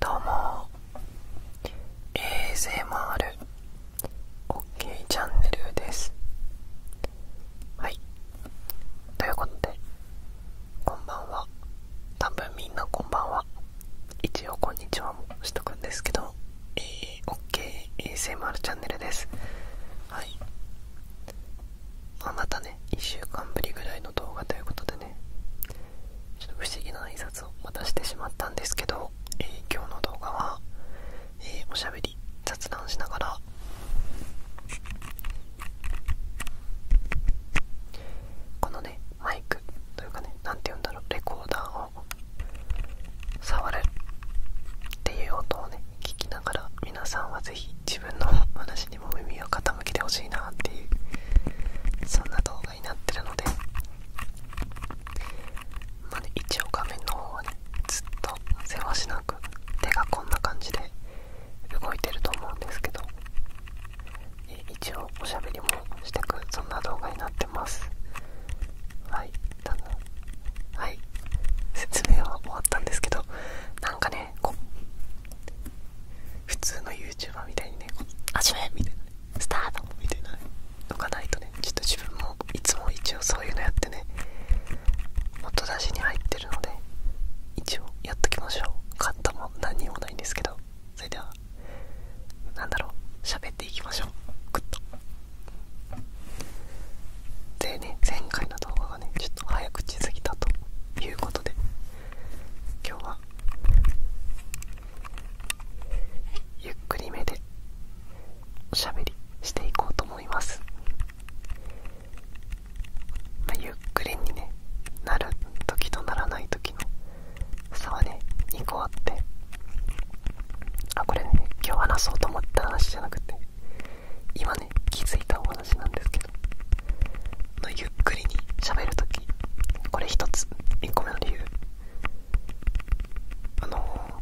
どうも ASMR OK チャンネルですはいということでこんばんは多分みんなこんばんは一応こんにちはもしとくんですけど、えー、OKASMR、チャンネルですはいまあ、またね1週間ぶりぐらいの動画ということでねちょっと不思議な挨拶をましてしまったんですけど、え今日の動画は、えー、おしゃべり雑談しながらこのねマイクというかね何て言うんだろうレコーダーを触るっていう音をね聞きながら皆さんはぜひ自分の話にも耳を傾けてほしいなっていうそんな動画になってるのでまあね一応画面の方はねずっとせわしなく手がこんな感じで動いてると思うんですけど一応おしゃべりもしてくそんな動画になってますはいだんだはい説明は終わったんですけどなんかね普通の YouTuber みたいにね「始め!」みたいな、ね「スタート!」みたいなねのかないとねちょっと自分もいつも一応そういうのやってね音出しに入ってるので一応やっときましょうカットも何にもないんですけどそれではなんだろう喋っていきましょうグッとでね前回の動画ちょっと早口すぎたということで今日はゆっくりめでおしゃべりしていこうと思います、ゆっくりにねなる時とならない時の差はね2個あってあこれね今日話そうと思った話じゃなくて今ね気づいたお話なんですけどのゆっくりにしゃべる時これ一つ1個目の理由あの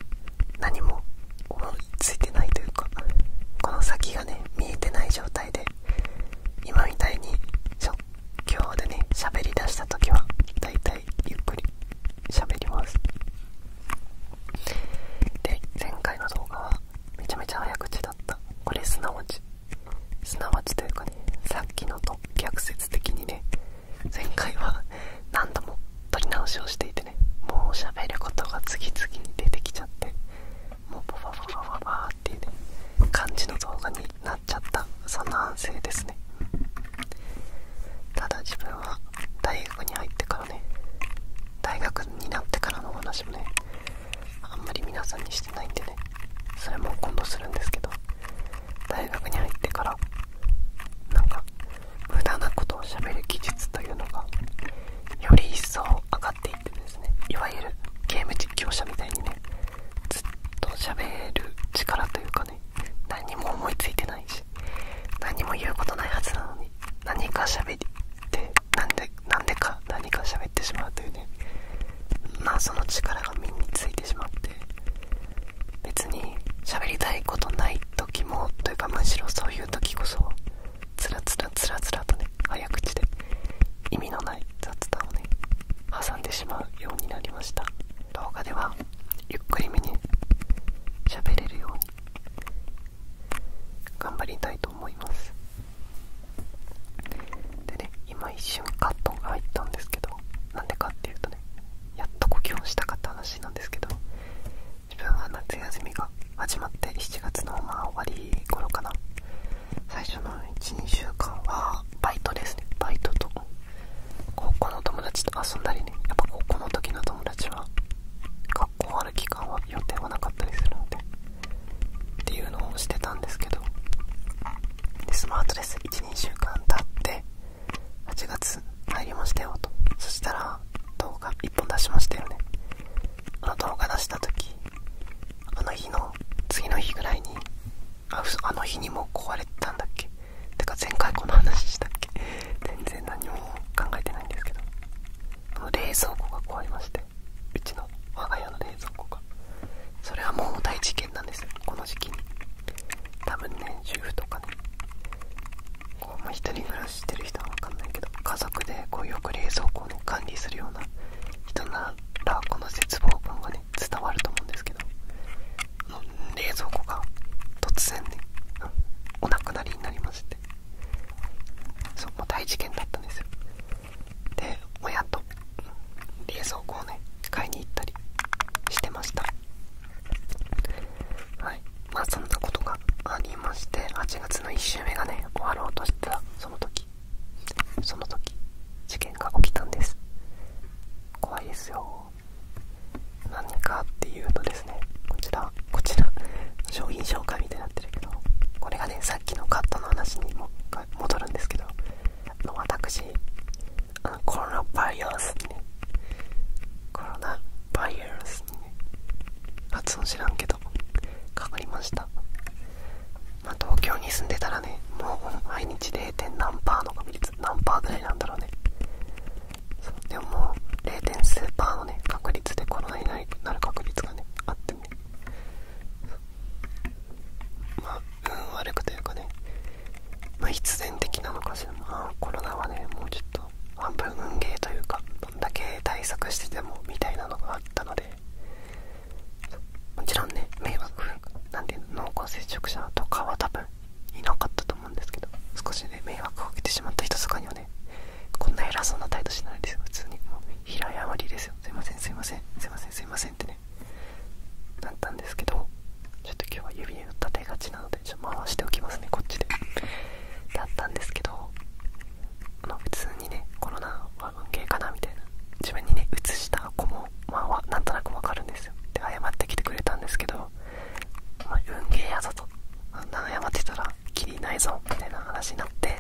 何も思いついてないというかこの先がね見えてない状態で今みたいに即興でね喋りだした時はだいたいゆっくり喋りますで前回の動画はめちゃめちゃ早口だったこれすなわちすなわちというかねさっきのと逆説的にね前回は何度も撮り直しをしていてねもう喋ることが次々に出てきちゃってもうパパパパパパっていうね感じの動画になっちゃったそんな反省ですねただ自分は大学に入ってからね大学になってからのお話もねあんまり皆さんにしてないんでねそれも今度するんですけど大学に入ってからなんか無駄なことをしゃべる技術というのがより一層上がっていってですねいわゆるゲーム実況者みたいにねずっと喋る力というかね何も思いついてないし何も言うことないはずなのに何か喋りっなんでなんでか何か喋ってしまうというねまあその力が身についてしまって別に喋りたいことない時もというかむしろそういう時こそつらつらつらつらとね早口で意味のない雑談をね挟んでしまうようになりました動画ではゆっくりめに喋れるように頑張りたいと思いますでね今一瞬カットが入ったんですけどなんでかっていうとねやっと呼吸をしたかった話なんですけど自分は夏休みが始まって7月のまあ終わり頃かな最初の12週間はバイトですねバイトと高校の友達と遊んだりねやっぱ高校の時の友達は学校ある期間は予定はなかったりするんでっていうのをしてたんですけどでスマートレス12週間経って8月入りましたよとそしたら動画1本出しましたよねあの動画出した時あの日の次の日ぐらいにああの日にも壊れてたんだっけてか前回この話したっけ全然何も考えてないんでけど冷蔵庫が壊れましてうちの我が家の冷蔵庫がそれはもう大事件なんですこの時期に多分ね主婦とかねこう、ま一人暮らししてる人は分かんないけど家族でこうよく冷蔵庫の管理するような人ならこの絶望感がね伝わると思うんですけど冷蔵庫が突然ねお亡くなりになりましてそうもう大事件だったんですよで親と冷蔵庫をね買いに行ったりしてましたはいまあそんなことがありまして8月の1週目がね終わろうとしたら、その時その時事件が起きたんです怖いですよ何かっていうとですねこちらこちら商品紹介みたいになってるけどこれがねさっきのカットの話にも戻るんですけど私あのコロナバイアスにねコロナバイアスにね発音知らんけどかかりました、東京に住んでたらねもう毎日 0. 何パーの確率何パーぐらいなんだろうねでももう0ーパーのね確率でコロナになる確率がねあってねまあ運悪くというかねま必然的なのかしらまあコロナはねもうちょっと半分運ゲーというかどんだけ対策しててもみたいなのがあったのでもちろんね迷惑なんていうの濃厚接触者とかは多分いなかったと思うんですけど少しね迷惑をかけてしまった人とかにはねこんな偉そうな態度しないですよ普通にもう平謝りですよすいませんすいませんすいませんすいませんってねなったんですけどちょっと今日は指を立てがちなのでちょ回しておきますねこっちでだったんですけどあの普通にねコロナは運ゲかなみたいな自分にね移した子もまあなんとなくわかるんですよで謝ってきてくれたんですけどま運ゲーやぞとあんな謝ってたらきりないぞみたいな話になって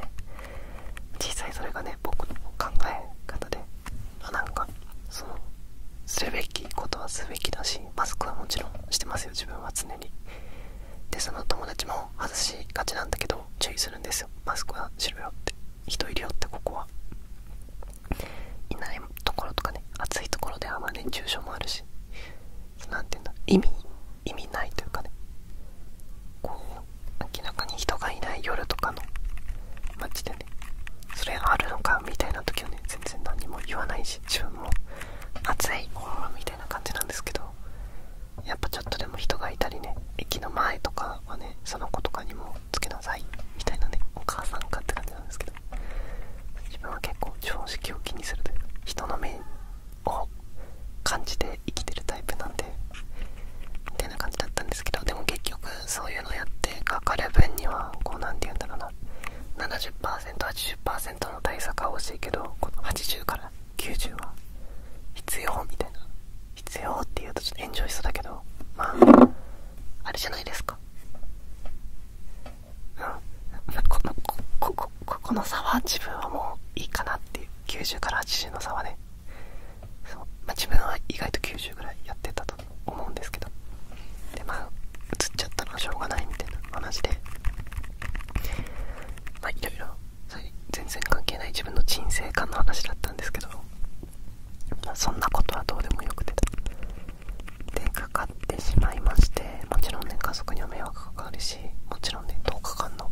実際それがね僕の考え方であなんかそのするべきことはすべきだしマスクはもちろんしてますよ自分は常にでその友達も外しがちなんだけど注意するんですよマスクはしろよって人いるよってここはいないところとかね暑いところではまり熱中症もあるしなていうんだ意味意味ないというかねこう明らかに人がいない夜とかの街でねそれあるのかみたいな時はね全然何も言わないし自分も暑いみたいな感じなんですけどやっぱちょっとでも人がいたりね駅の前とかはねその子とかにもつけなさいみたいなねお母さんかって感じなんですけど自分は結構常識を気にするというか人の目を感じて生きてるタイプなんでみたいな感じだったんですけどでも結局そういうのやってかかる分にはこう何て言うんだろうな 70%80% の対策は欲しいけどこの80から90は必要みたいな必要っていうとちょっと炎上しそうだけどまああれじゃないですかこのこここここの差は自分はもういいかなっていう90から80の差はねま自分は意外と90ぐらいやってたと思うんですけどでまあ映っちゃったのはしょうがないみたいな話でまあいろいろそれ全然関係ない自分の人生観の話だったんですけど、そんなことはどうでもよくてでかかってしまいましてもちろんね家族にも迷惑かかるしもちろんね10日間の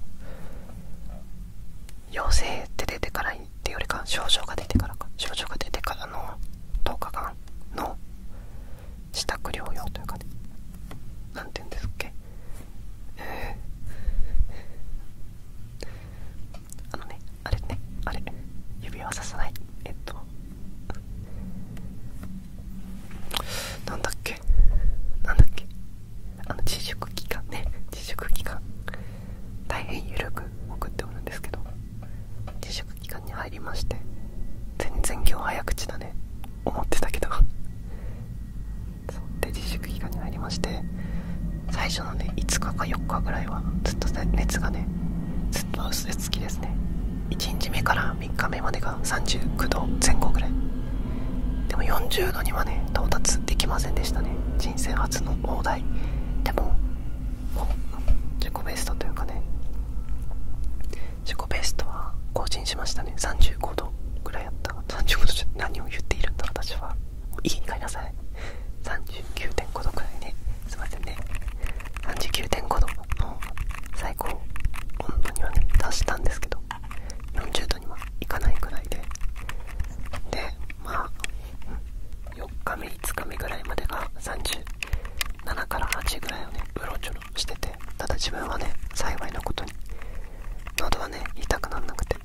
陽性って出てからっていうよりか症状が出てからか症状が出てからの10日間の自宅療養というかねなて言うんですっけあのねあれねあれ指輪ささないえっとなんだっけなんだっけあの自粛期間ね自粛期間大変緩く送っておるんですけど自粛期間に入りまして全然今日早口だね思ってたけどそうで自粛期間に入りまして最初のね5日か4日ぐらいはずっと熱がねずっと薄手付きですね1日目から3日目までが39度前後ぐらいでも40度にはね到達できませんでしたね人生初の大台でも自己ベストというかね自己ベストは更新しましたね35度ぐらいやった35度じゃ何を言っているんだ私は家に帰りなさい39.5度くらいねすいませんね39.5度の最高温度にはね達したんですけど40度にはいかないくらいででまあ4日目5日目ぐらいまでが37から8ぐらいをねうろちょろしててただ自分はね幸いなことに喉はね痛くなんなくて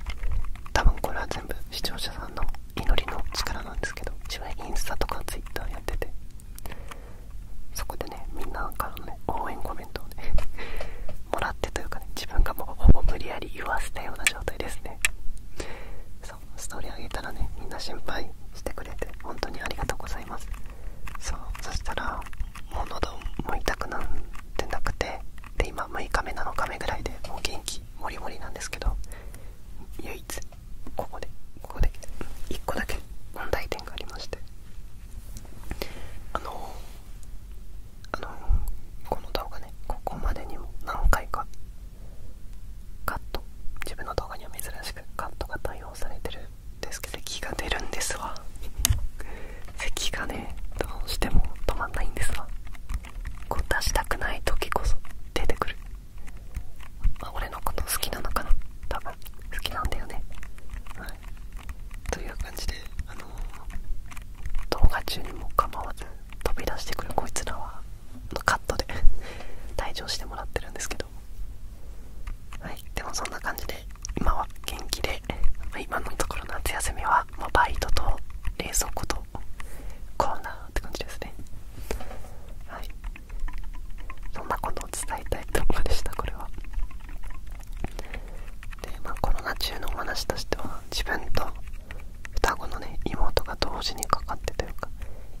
多分これは全部視聴者さんの祈りの力なんですけど自分インスタとかツイッターやっててそこでねみんなからのね応援コメントをね もらってというかね自分がもうほぼ無理やり言わせたような状態ですねそうストーリーあげたらねみんな心配してくれて本当にありがとうございますそうそしたらもう喉も痛くなってなくてで今6日目7日目ぐらいでもう元気もりもりなんですけど唯一ここでここで1個だけ問題点がありましてあのあのこの動画ねここまでにも何回かカット自分の動画には珍しくカットが対応されてるんですけど咳が出るんですわ 咳がねどうしても止まんないんですわこう出したくない時こそ出てくるま俺のこと好きなのかな多分好きなんだよねという感じであの動画中にも構わず飛び出してくるこいつらはのカットで 退場してもらってるんですけどはいでもそんな感じで今は元気で、ま今のところ夏休みは、まバイトと冷蔵庫とコーナーって感じですねはいそんなことを伝えたいとこでしたこれはでまあコロナ中のお話としては自分と双子のね妹が同時にかかってというか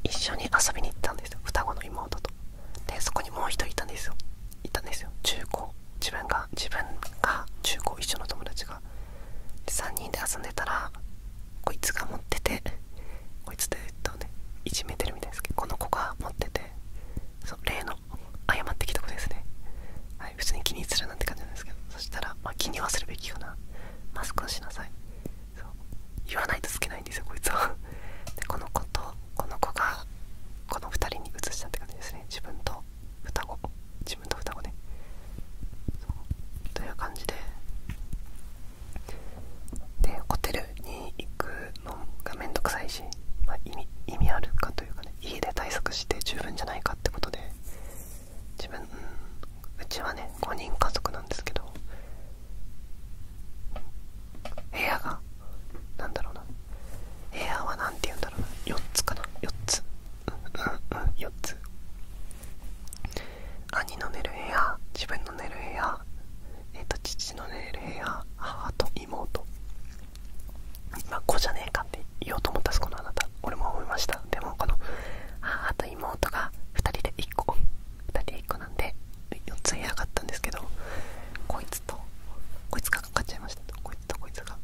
一緒に遊びに行ったんですよ双子の妹とでそこにもう1人いたんですよいたんですよ中高自分が自分が中高一緒の友達が3人で遊んでたらこいつが持っててこいつって言とねいじめてるみたいですけどこの子が持っててそう例の謝ってきた子ですねはい普通に気にするなんて感じなんですけどそしたら、まあ、気にはするべきかなマスクをしなさい言わないとつけないんですよこいつを でこの子とこの子がこの2人に移したって感じですね自分と双子自分と双子ねそうという感じででホテルに行くのがめんどくさいし、まあ、意味あるかというかね家で対策して十分じゃないかってことで自分、うん、うちはね5人家族なんですけど部屋がなんだろうな部屋は何て言うんだろうな4つかな4つ4つ兄の寝る部屋自分の寝る部屋えっ、と父の寝る部屋母と妹まあ子じゃねえかって言おうと思ったそこのあなた俺も思いましたでもこの母と妹が2人で1個2人で1個なんで4つ部屋があったんですけどこいつとこいつがかかっちゃいましたこいつとこいつが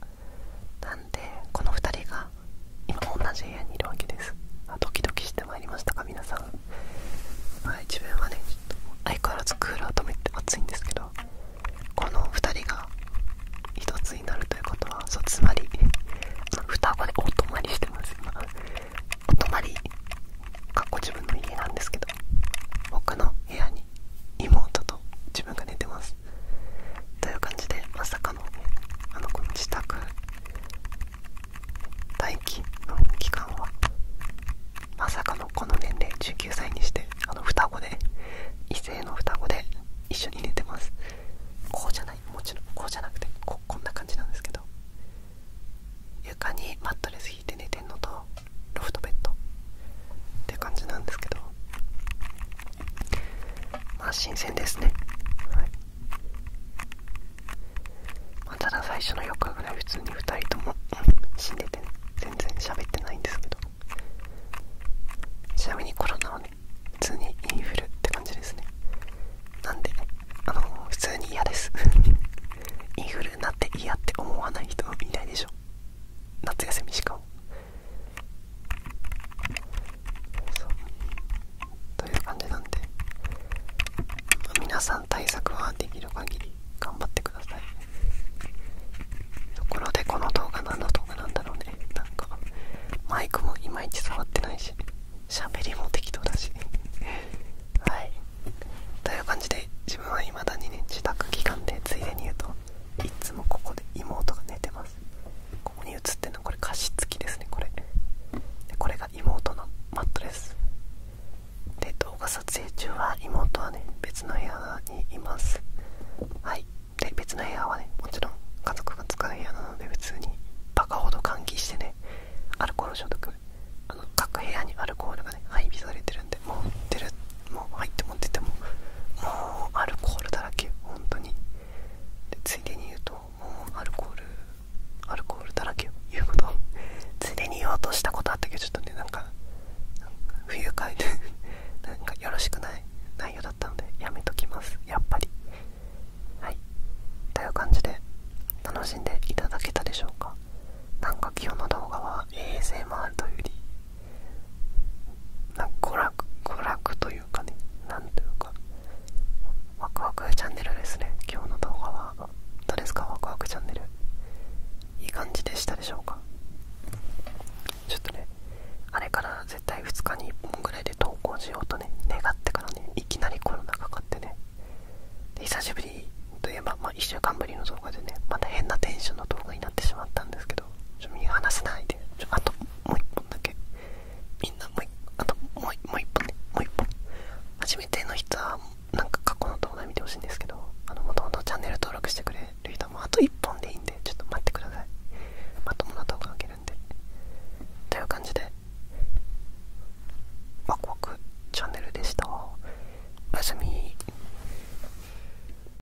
なんでこの2人が今同じ部屋にいるわけですあドキドキしてまいりましたか皆さんはい自分はね相変わらずクーラー止めて暑いんですけどこの2人が1つになるということはそうつまり双子でお泊まりしてます今お泊まりかっこ自分の家なんですけど僕の部屋に妹と自分が寝てますという感じでまさかのあのこの自宅待機の期間はまさかのこの年齢19歳にしてあの双子で異性の双子で一緒に寝てますこうじゃないもちろんこうじゃなくてここんな感じなんですけど床にマットレス引いて寝てんのとロフトベッドって感じなんですけどまあ新鮮ですね、はいまただ最初の4日ぐらい普通に2人とも死んでてね全然喋ってないんですけどちなみにコロナはね普通にインフルって感じですねなんであの普通に嫌です インフルになって嫌って思わない人いないでしょ夏休みしかもそうという感じなんで、ま皆さん対策はできる限り頑張ってくださいところでこの動画何の動画なんだろうねなんかマイクもいまいち触ってないし喋りも適当だし はいという感じで自分は未だにね自宅期間でついでに言うといつもここで妹が寝てますここに写ってるのこれ加湿器ですねこれこれが妹のマットですで動画撮影中は妹はね別の部屋にいますはいで別の部屋はねもちろん家族が使う部屋なので普通にバカほど換気してねアルコール消毒あの各部屋にアルコールがね配備されてるんで持っ。出るもう入って持っててももうアルコールだらけ本当についでに言うともうアルコールアルコールだらけ言うことついでに言おうとしたことあったけどちょっとねなんかなんか不愉快で なんかよろしくない内容だったのでやめときますやっぱりはいという感じで楽しんでいただけたでしょうかなんか今日の動画は衛 s m r といより娯楽娯楽というかね何というかワクワクチャンネルですね今日の動画はどうですかワクワクチャンネルいい感じでしたでしょうかちょっとねあれから絶対2日に1本ぐらいで投稿しようとね願ってからねいきなりコロナかかってね久しぶりといえば、まあ、1週間ぶりの動画でねまた変なテンションの動画になってしまったんですけどよちょ見放せないでちょあともう一本だけみんなもうともうもう一本ねもう一本初めての人はなんか過去の動画見てほしいんですけどあのもともとチャンネル登録してくれる人もあと一本でいいんでちょっと待ってくださいまともな動画あげるんでという感じでワクワクチャンネルでしたおやすみ